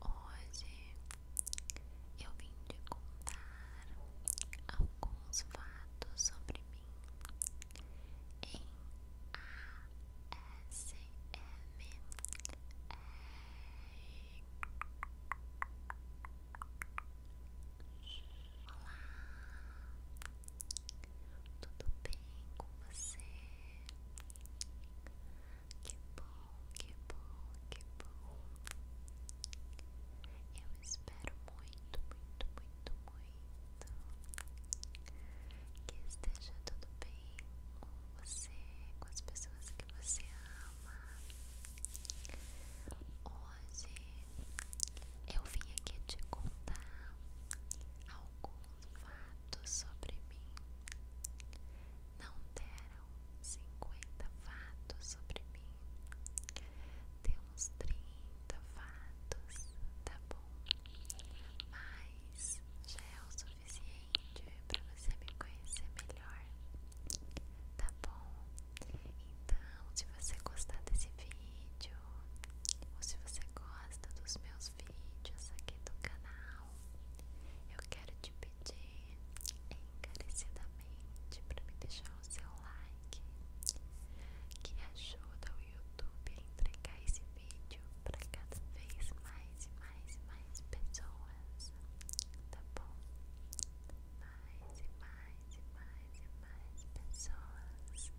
Hoje eu vim te contar alguns fatos sobre mim em ASMR. Olá, tudo bem com você? Que bom, que bom, que bom. Eu espero muito, muito, muito, muito que esteja tudo bem com você, com as pessoas que você ama. Hoje eu vim aqui te contar alguns fatos sobre mim não deram cinquenta fatos sobre mim. Deu uns trinta fatos, tá bom? Mas já é o suficiente para você me conhecer melhor, tá bom? Então, se você gostar desse vídeo, ou se você gosta dos meus vídeos aqui do canal, eu quero te pedir encarecidamente para me deixar o seu like, que ajuda o YouTube a entregar esse vídeo para cada vez mais e mais e mais pessoas, tá bom? Mais e mais e mais e mais pessoas,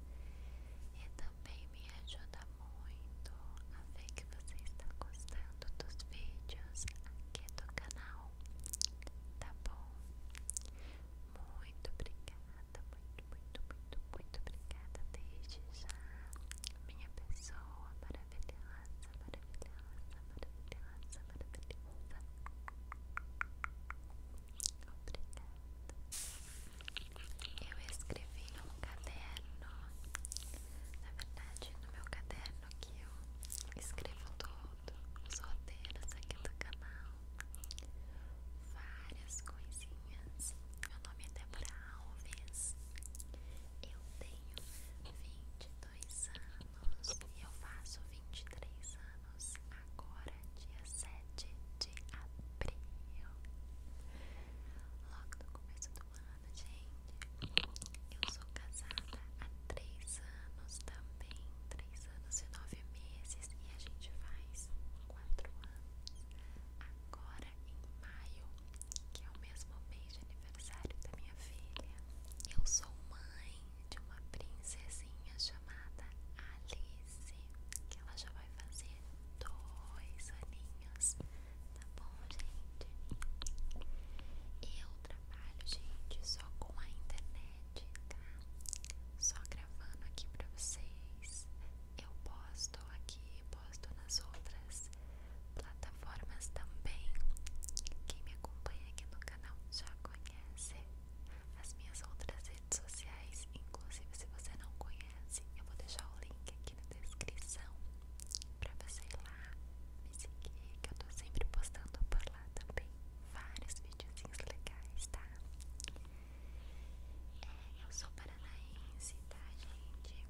e também me ajuda muito a ver que você está gostando dos vídeos aqui do canal, tá bom? Muito obrigada, muito, muito, muito, muito obrigada desde já, minha pessoa maravilhosa, maravilhosa, maravilhosa, maravilhosa. Obrigada. Eu escrevi num caderno, na verdade, no meu caderno que eu escrevo todo os roteiros aqui do canal, várias coisinhas. Meu nome é Débora Alves, eu tenho 22 anos e eu faço 23 anos agora, dia 7 de abril. Logo no começo do ano falando, gente. Eu sou casada há três anos também. Três anos e nove meses. E a gente faz quatro anos. Agora em maio, que é o mesmo mês de aniversário da minha filha. Eu sou mãe de uma princesinha chamada Alice. Que ela já vai fazer dois aninhos. Tá bom, gente? Eu trabalho, gente, só com a internet, tá? Só gravando aqui pra vocês. Eu posto aqui, posto nas outras plataformas também. Quem me acompanha aqui no canal já conhece as minhas outras redes sociais. Inclusive, se você não conhece, eu vou deixar o link aqui na descrição pra você ir lá me seguir que eu tô sempre postando por lá também vários videozinhos legais, tá? É, eu sou paranaense, tá, gente?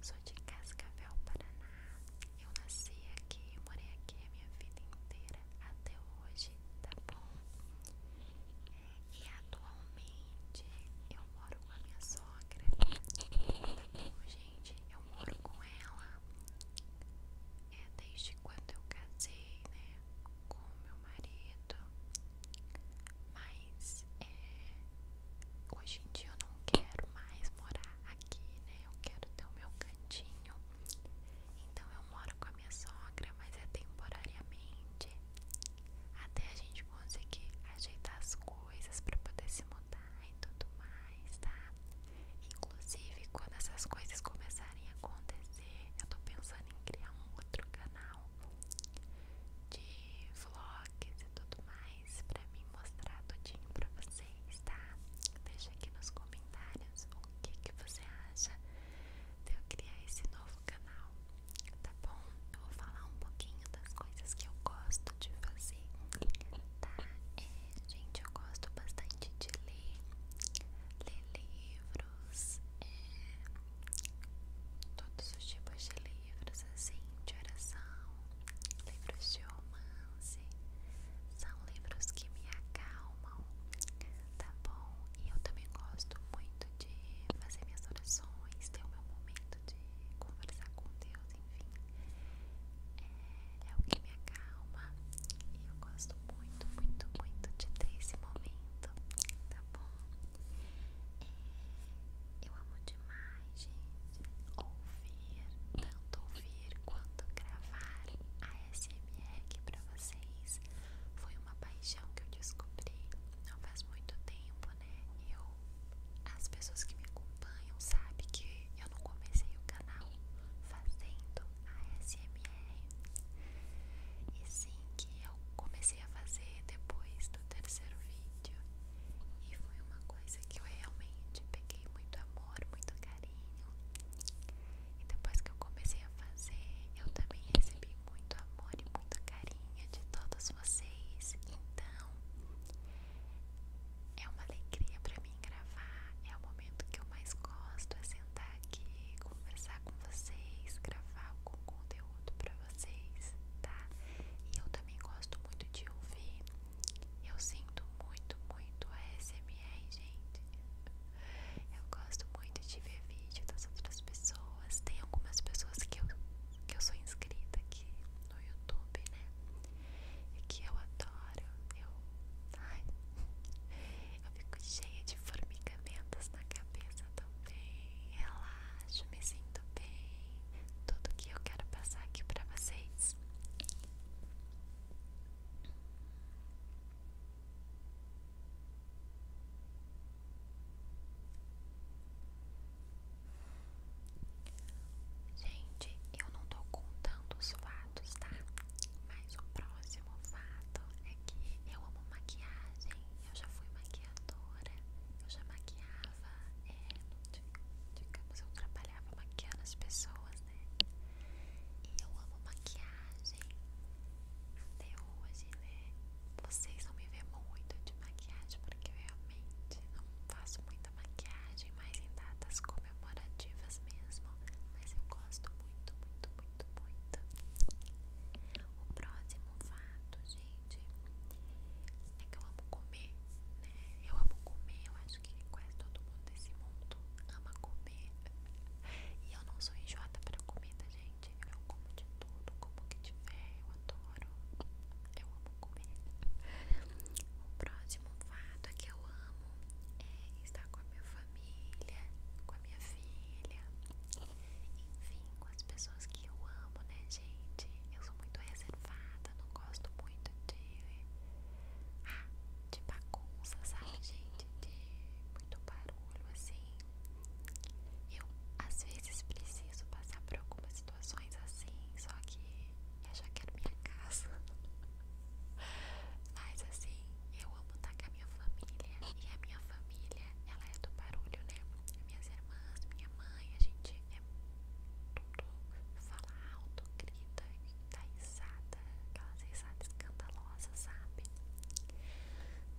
Sou de Cascavel, Paraná. Eu nasci aqui, eu morei aqui a minha vida inteira até hoje, tá bom? É, e atualmente eu moro com a minha sogra, tá bom, gente? gente, eu moro com ela é desde quando eu casei, né, com meu marido. Mas é, hoje em dia eu não quero mais morar aqui, né? Eu quero ter o meu cantinho. Então eu moro com a minha sogra, mas é temporariamente até a gente conseguir ajeitar as coisas coisas para poder se mudar e tudo mais, tá? Inclusive, quando essas coisas começarem a acontecer, eu tô pensando em criar um outro canal de vlogs e tudo mais para mim mostrar tudinho para vocês, tá? Deixa aqui nos comentários o que que você acha de eu criar esse novo canal, tá bom? Eu vou falar um pouquinho das coisas que eu gosto de fazer, tá? É, gente, eu gosto bastante de ler, ler livros, é, todos os tipos de livros, assim, de oração, livros de romance, são livros que me acalmam, tá bom? E eu também gosto muito de fazer minhas orações, ter o meu momento de conversar com Deus enfim. É, é, o que me acalma e eu gosto muito, muito, muito de ter esse momento, tá bom? É, eu amo demais, gente, ouvir, tanto ouvir quanto gravar a SMR aqui pra vocês. Foi uma paixão que eu descobri não faz muito tempo, né? Eu as pessoas que me acompanham sabem que eu não comecei o canal fazendo a SMR. E sim que eu comecei a fazer depois do terceiro vídeo. E foi uma coisa que eu realmente peguei muito amor, muito carinho. E depois que eu comecei a fazer, eu também recebi muito amor e muito carinho de todos vocês. Então, é uma alegria para mim gravar, é o momento que eu mais gosto, é sentar aqui, conversar com vocês, gravar algum conteúdo para vocês, tá? E eu também gosto muito de ouvir. Eu sinto muito, muito ASMR, gente. Eu gosto muito de ver vídeo das outras pessoas. Tem algumas pessoas que eu, que eu sou inscrita aqui no YouTube, né? É que eu adoro. Eu, ai, eu fico cheia de formigamentos na cabeça também. Relaxo, me sinto bem. Tudo que eu quero passar aqui pra vocês. Gente, eu não tô contando os fatos, tá? Mas o próximo fato é que eu amo maquiagem. Eu já fui maquiadora, eu já maquiava, é, digamos, eu trabalhava maquiando as pessoas, né? E eu amo maquiagem até hoje, né? Vocês não me vê muito de maquiagem por que eu realmente não faço muita maquiagem, mas em datas comemorativas mesmo. Mas eu gosto muito, muito, muito, muito. O próximo fato, gente, é que eu amo comer, né? Eu amo comer, eu acho que quase todo mundo desse mundo ama comer. E eu não sou enjoada pra comida, gente. Eu como de tudo, como que tiver, eu adoro. Eu amo comer. O próximo fato é que eu amo é estar com a minha família, com a minha filha, enfim, com as pessoas que eu amo, né, gente? Eu sou muito reservada, não gosto muito de. Ah, de bagunça, sabe, gente? De muito barulho, assim. Eu às vezes preciso passar por algumas situações situações assim, só que eu já quero minha casa. Mas assim, eu amo estar com a minha família. E a minha família, ela é do barulho, né? Minhas irmãs, minha mãe, a gente é tudo fala alto, grita, dá risada, aquelas risadas escandalosas, sabe?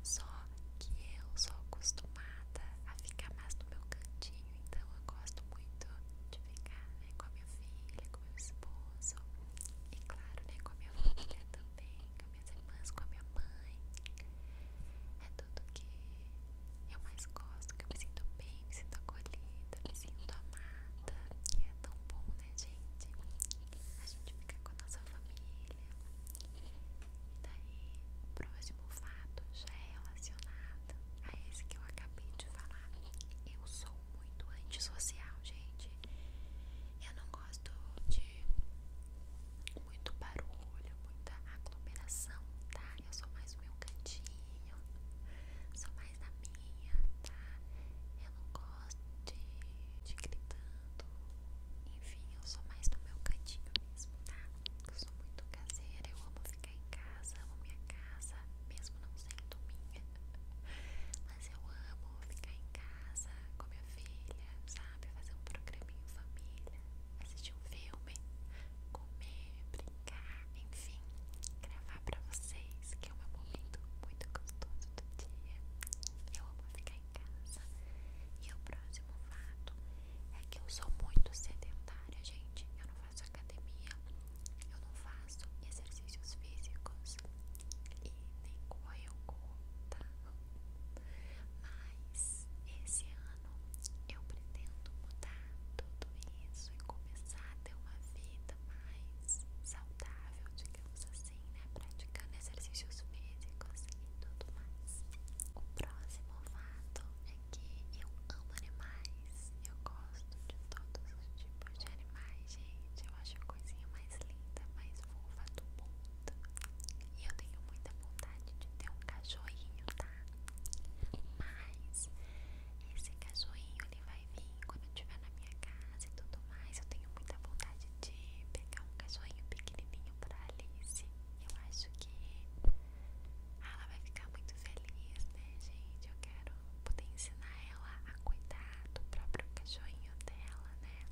Só que eu sou acostumada a ficar mais no meu cantinho então eu gosto muito de ficar né, com a minha filha, com meu esposo e claro, né, com a minha família também, com minhas irmãs, com a minha mãe. É tudo que eu mais gosto, que eu me sinto bem, me sinto acolhida, me sinto amada. E é tão bom, né, gente? A gente fica com a nossa família. E daí, o próximo fato já é relacionada a esse que eu acabei de falar. Eu sou muito antissocial, gente. Eu não gosto de muito barulho, muita aglomeração, tá? Eu sou mais no meu cantinho, sou mais na minha, tá? Eu não gosto de, de gritando, enfim, eu sou mais no meu cantinho mesmo, tá? Eu sou muito caseira, eu amo ficar ficar em casa, amo minha casa, mesmo não sendo minha. Mas eu amo ficar em casa com minha filha, sabe? Fazer um programa família, assistir um filme, comer, brincar, enfim, gravar pra vocês, que é o um momento muito gostoso do dia. Eu amo ficar em casa. E o próximo fato é que eu sou muito sedentária, gente na academia, eu não faço exercícios físicos e nem corro eu corro, tá? Mas esse ano eu pretendo mudar tudo isso e começar a ter uma vida mais saudável, digamos assim, né? Praticando exercícios físicos e tudo mais. O próximo fato que eu amo animais. Eu gosto de todos os tipos de animais, gente. Eu acho a coisinha mais linda, mais fofa do mundo. E eu tenho muita vontade de ter um cachorrinho, tá? Mas esse cachorrinho ele vai vir quando eu estiver na minha casa e tudo mais. Eu tenho muita vontade de pegar um cachorrinho pequenininho para Alice. Eu acho que ela vai ficar muito feliz, né, gente? Eu quero poder ensinar ela a cuidar do próprio cachorrinho dela, né?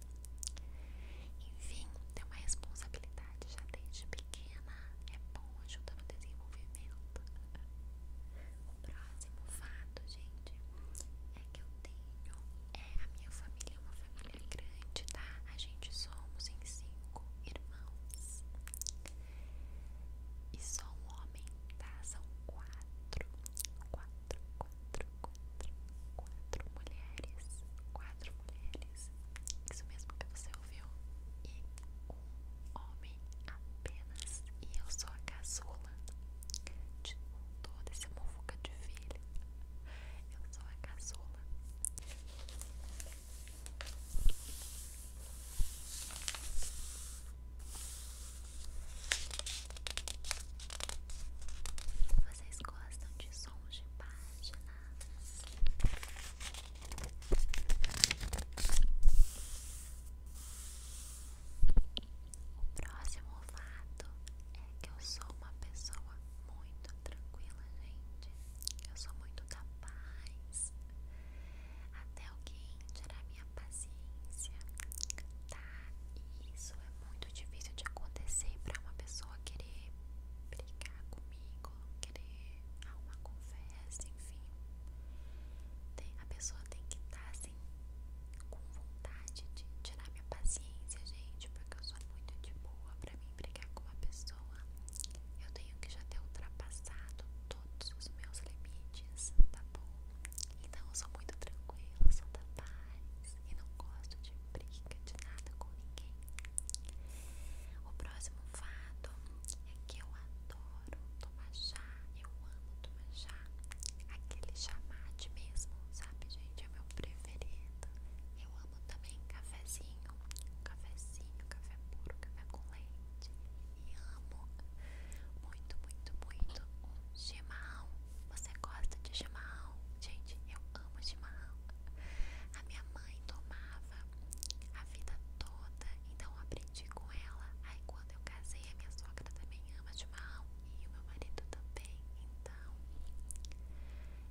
Enfim, ter uma responsabilidade já desde pequena. É bom, ajuda no desenvolvimento. O próximo fato, gente, é que eu tenho. É, a minha família é uma família grande, tá? A gente somos em cinco irmãos. E só um homem, tá? São quatro, quatro, quatro, quatro, mulheres, quatro mulheres. Isso mesmo que você ouviu. E um homem apenas. E eu sou a caçula de toda essa mofuca de filha. Eu sou a caçula. Vocês gostam de sons de páginas? O próximo fato é que eu sou uma pessoa muito tranquila, gente. Eu sou muito capaz até alguém tirar minha paciência, tá? isso é muito difícil de acontecer para uma pessoa querer brigar comigo, querer arrumar conversa, enfim. a pessoa tem que estar tá, assim, com vontade de tirar minha paciência, gente, porque eu sou muito de boa pra mim brigar com uma pessoa. Eu tenho que já ter ultrapassado todos os meus limites, tá bom? Então sou muito tranquila, sou da paz e não gosto de briga de nada com ninguém. O próximo fato é que eu adoro tomar chá, eu amo tomar chá, aquele chá mesmo, sabe, gente? É meu preferido. Eu amo também cafezinho, cafezinho, café puro, café com leite e amo muito, muito, muito o chimarrão. Você gosta de chimarrão? Gente, eu amo chimarrão. A minha mãe tomava a vida toda, então eu aprendi com ela. Aí quando eu casei, a minha sogra também ama chimarrão e o meu marido também. Então,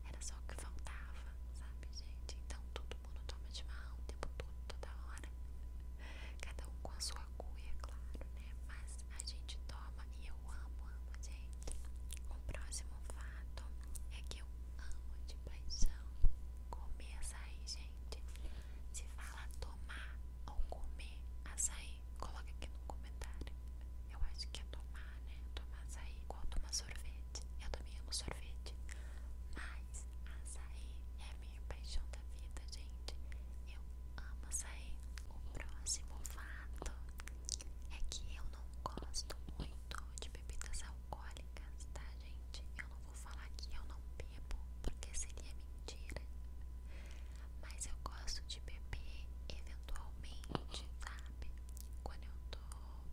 era só o que faltava, sabe, gente? Então, tudo todo mundo toma de chimarrão o tempo todo, toda hora. Cada um com a sua cuia, é claro, né? Mas a gente toma e eu amo, amo, gente. O próximo fato é que eu amo de paixão comer açaí, gente. Se fala tomar ou comer açaí, coloca aqui no comentário. Eu acho que é tomar, né? Tomar açaí igual tomar sorvete. Eu também amo sorvete. Mas açaí é a minha paixão da vida, gente. Eu amo açaí. O próximo fato é que eu não gosto muito de bebidas alcoólicas, tá, gente? Eu não vou falar que eu não bebo, porque seria mentira. Mas eu gosto de beber eventualmente, sabe? Quando eu tô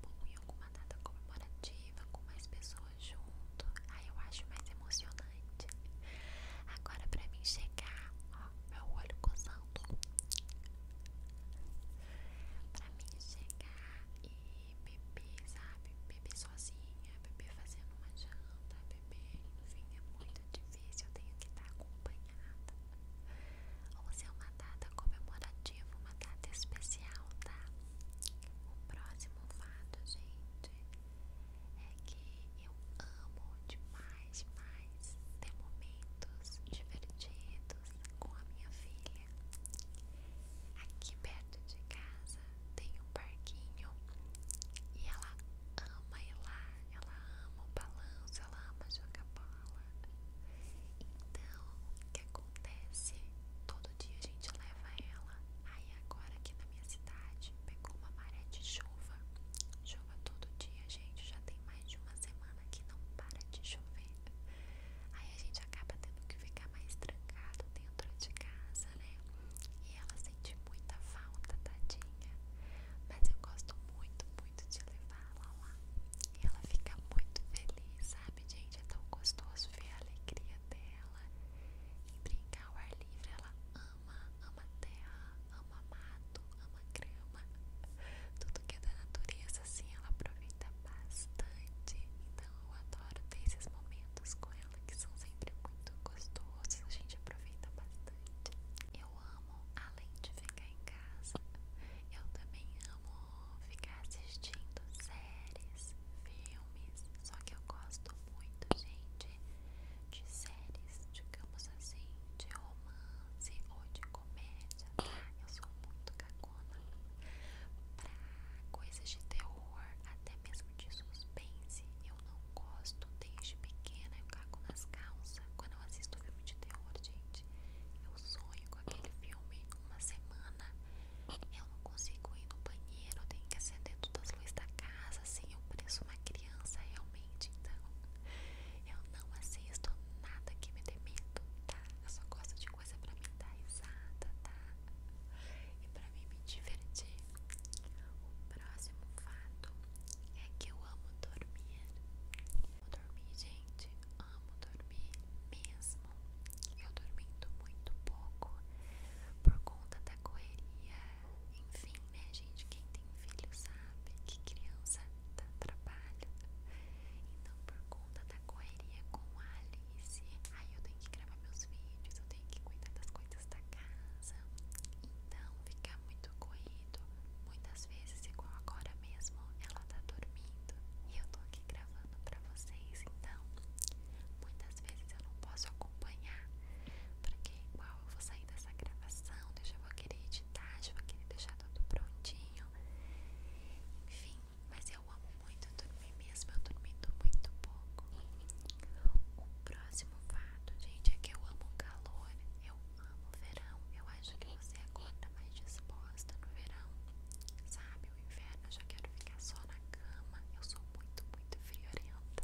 bom em algum uma data comemorativa com mais pessoas junto, aí eu acho mais emocionante. Agora pra mim chegar, ó, meu olho coçando. Pra mim chegar e beber, sabe? Beber sozinha, beber fazendo uma janta, beber, enfim, é muito difícil, eu tenho que estar acompanhada. Ou se é uma data comemorativa, uma data especial, tá? O próximo fato, gente, é que eu amo demais, mais ter momentos divertidos com a minha filha. Aqui perto de casa tem um parquinho e ela ama ir lá, ela ama o balanço, ela ama jogar bola. Então, o que acontece? acontece? Todo dia a gente leva ela. Aí agora aqui na minha cidade pegou uma maré de chuva. Chuva todo dia, gente. Já tem mais de uma semana que não para de chover. Aí a gente acaba tendo que ficar mais trancado dentro de casa, né? E ela sente muita falta, tadinha. Mas eu gosto muito, muito de levá-la lá. E ela fica muito feliz, sabe, gente? É tão gostoso ver a alegria dela ela em brincar ao ar livre. Ela ama, ama terra, ama mato, ama grama, tudo que é da natureza, assim, ela aproveita bastante. Então eu adoro ter esses momentos com ela que são sempre muito gostosos. A gente aproveita bastante. Eu amo, além de ficar em casa, eu também amo ficar assistindo séries séries, filmes. Só que eu gosto muito, gente, de séries, digamos assim, de romance ou de comédia, tá? Eu sou muito cagona pra coisas de terror, até mesmo de suspense. Eu não gosto desde pequena, eu cago nas calças. Quando eu assisto filme de terror, gente, eu sonho com aquele filme uma semana eu não consigo ir no banheiro, tenho que acender todas as luzes da casa, assim, eu pareço uma criança realmente, então eu não assisto nada que me demente, tá? Eu só gosto de coisa pra mim dar risada, tá? E pra mim me divertir. O próximo fato é que eu amo dormir. Amo dormir, gente. Amo dormir mesmo. Eu dormindo muito pouco por conta da correria. Enfim, né, gente? Quem tem filho sabe que criança dá trabalho. Então, por conta da correria com a Alice, aí eu tenho que gravar meus vídeos, eu tenho que cuidar das coisas da casa. Então, fica muito corrido. Muitas vezes, igual agora mesmo, ela tá dormindo e eu tô aqui gravando pra vocês. Então, muitas às vezes eu não posso acompanhar, porque é igual eu vou sair dessa gravação, eu vou querer editar, vou querer deixar tudo prontinho, enfim, mas eu amo muito dormir mesmo, eu dormi muito pouco. O próximo fato, gente, é que eu amo calor, eu amo verão, eu acho que você agora acorda mais disposta no verão, sabe? no inverno, eu já quero ficar só na cama. Eu sou muito, muito friorenta.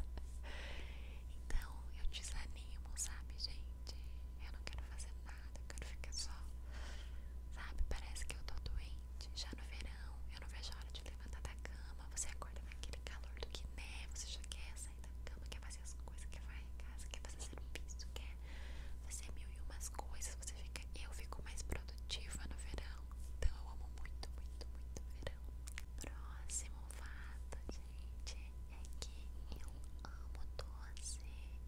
Então eu desanimo, sabe, gente? Eu não quero fazer nada, eu quero ficar só. Sabe, parece que eu tô doente. Já no verão, eu não vejo a hora de levantar da cama. Você acorda naquele calor do Guiné, você já quer sair da cama, quer fazer as coisas, quer vai em casa, quer fazer serviço, quer fazer mil e umas coisas. Você fica, eu fico mais produtiva no verão. Então eu amo muito, muito, muito verão. Próximo fato, gente, é que eu amo doce.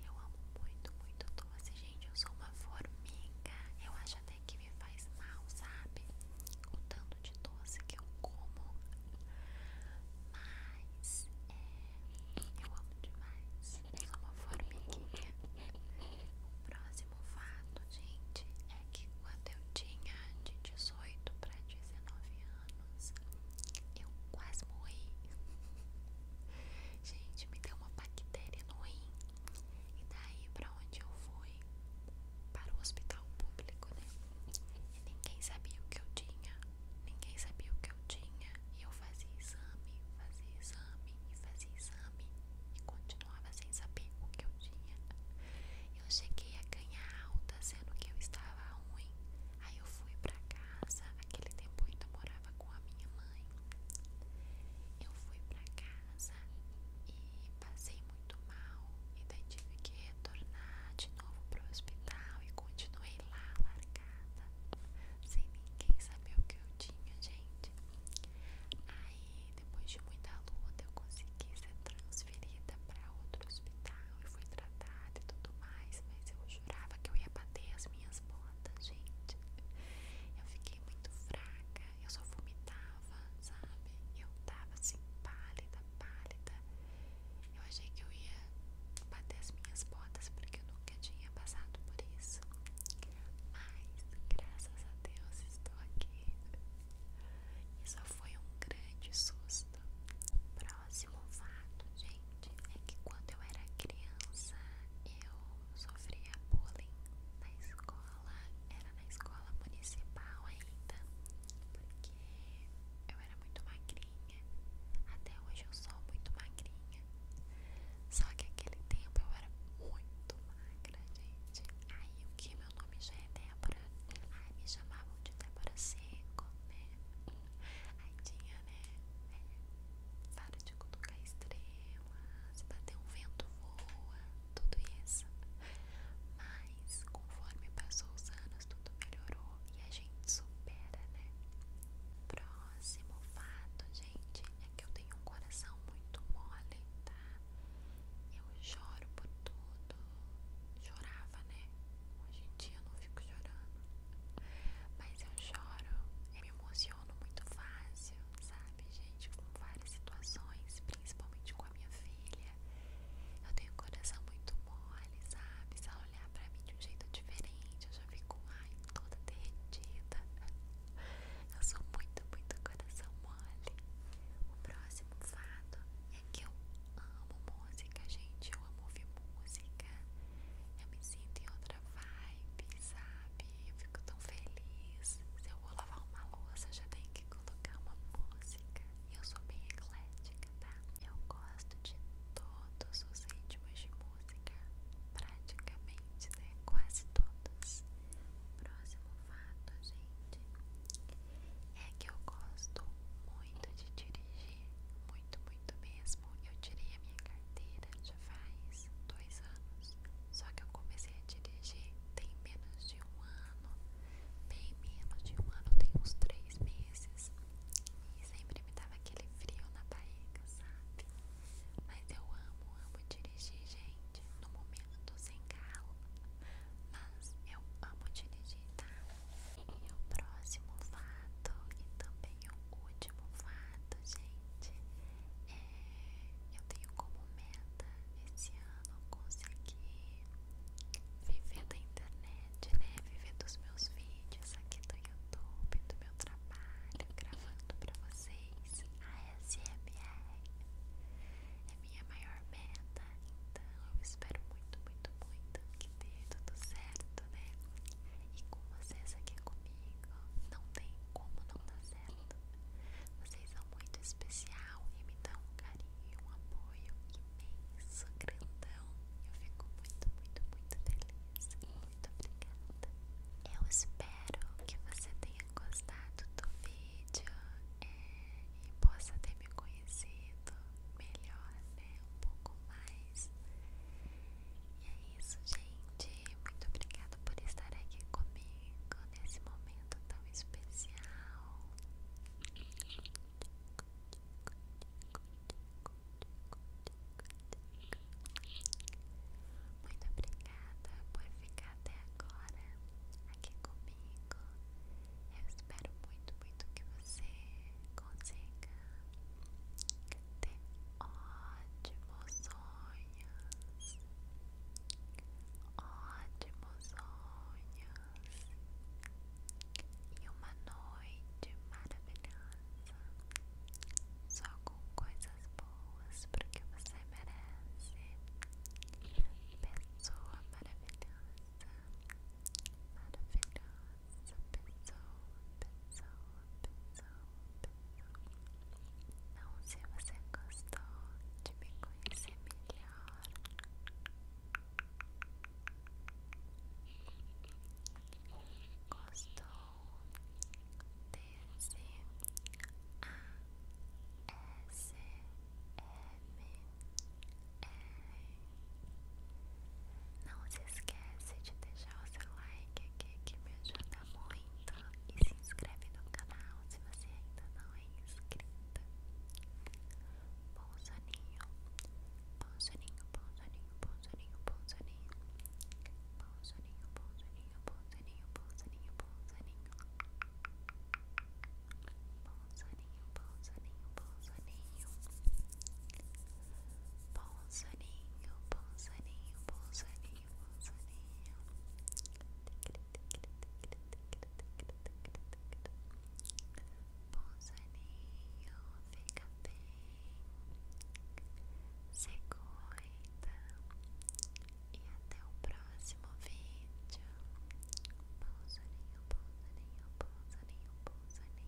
Eu amo muito, muito doce, gente. Eu sou uma formiga. Eu acho até que me faz mal, sabe? O tanto de doce que eu como. Mas é, eu amo demais. Eu sou uma formiguinha. O próximo próximo fato, gente, é que quando eu tinha de 18 para 19 anos, eu quase morri. gente, me deu uma bactéria no rim. E daí para onde eu fui? Para o hospital público, né? E ninguém sabia o que eu tinha. Ninguém sabia o que eu tinha. E eu fazia exame, fazia exame e fazia exame e continuava sem saber o que eu tinha. Eu cheguei a ganhar alta sendo que eu estava ruim. Aí eu fui pra casa, aquele tempo eu ainda morava com a minha mãe. Eu fui pra casa e passei muito mal. E daí tive que retornar de novo pro hospital e continuei lá largada. Sem ninguém saber o que eu tinha, gente. Aí depois de muita luta eu consegui ser transferida para outro hospital e fui tratada e tudo mais, mas eu jurava que eu ia bater as minhas botas, gente. Eu fiquei muito fraca, eu só vomitava, sabe? Eu tava assim pálida, pálida. Eu achei que eu ia bater as minhas botas porque eu nunca tinha passado por isso. Mas, graças a Deus, estou aqui. Isso foi um grande susto. O Próximo fato, gente, é que quando eu era criança, eu sofria bullying na escola. Era na escola municipal ainda, porque eu era muito magrinha. Até hoje eu sou muito magrinha. Só que aquele tempo eu era muito magra aí o que? Meu nome já é Débora. Ai, me chamavam de Débora Seco, né? aí tinha, né? É. Para de cutucar estrelas, bater um vento voa, tudo isso. Mas, conforme passou os anos, tudo melhorou e a gente supera, né? Próximo fato, gente, é que eu tenho um coração muito mole, tá? Eu choro por tudo. Chorava, né? Hoje em dia eu não fico chorando. Mas eu choro. Eu me emociono muito fácil, sabe, gente? Com várias situações, principalmente com a minha filha. Eu tenho um coração muito mole, sabe? Se ela olhar pra mim de um jeito diferente, eu já fico, ai, toda derretida. Eu sou muito, muito coração mole. O próximo fato é que eu amo música, gente. Eu amo ouvir música. Eu me sinto em outra vibe, sabe? Eu fico tão feliz. Se eu vou lavar uma louça, já tenho que colocar uma música. Eu sou bem eclética, tá? Eu gosto de todos os ritmos de música. Praticamente, né? Quase todos. Próximo gente, é que eu gosto muito de dirigir, muito, muito mesmo. Eu tirei a minha carteira já faz dois anos, só que eu comecei a dirigir tem menos de um ano, bem menos de um ano, tem uns três meses. E sempre me dava aquele frio na barriga, sabe? Mas eu amo, amo dirigir, gente. No momento sem carro, mas eu amo dirigir, tá? E o próximo fato, e também o último fato, gente, é eu tenho como meta esse ano conseguir viver da internet, né? Viver dos meus vídeos aqui do YouTube, do meu trabalho, gravando pra vocês a ASMR. É minha maior meta, então eu espero muito, muito, muito que dê tudo certo, né? E com vocês aqui comigo, não tem como não dar certo. Vocês são muito especial e me dão um carinho e um apoio imenso, grandão. Eu fico muito, muito, muito feliz. Muito obrigada. Eu espero que você tenha gostado do vídeo vídeo é, e possa ter me conhecido melhor, né? Um pouco mais. E é isso, gente. Muito obrigada por estar aqui comigo nesse momento tão especial. Muito obrigada por ficar até agora aqui comigo. Eu espero muito, muito que você consiga ter ótimos sonhos. Ótimos sonhos. E uma noite maravilhosa. Só com coisas boas pessoas porque você merece. Pessoa maravilhosa, maravilhosa pessoa, pessoa, pessoa, pessoa. Não se você gostou de me conhecer melhor. Gostou de S A S M R Não se esquece de deixar o seu like aqui que me ajuda muito e se inscreve no canal se você ainda não é inscrito. Bom soninho, bom soninho, bom soninho, bom soninho, bom soninho, bom soninho, bom soninho, bom soninho, bom soninho, bom soninho. Bom soninho, bom soninho, bom soninho. Bom soninho, bom soninho, bom soninho, bom soninho. Bom soninho, fica bem. Se cuida. Então. E até o próximo vídeo. Pousaninho, pousaninho, pousaninho, pousaninho.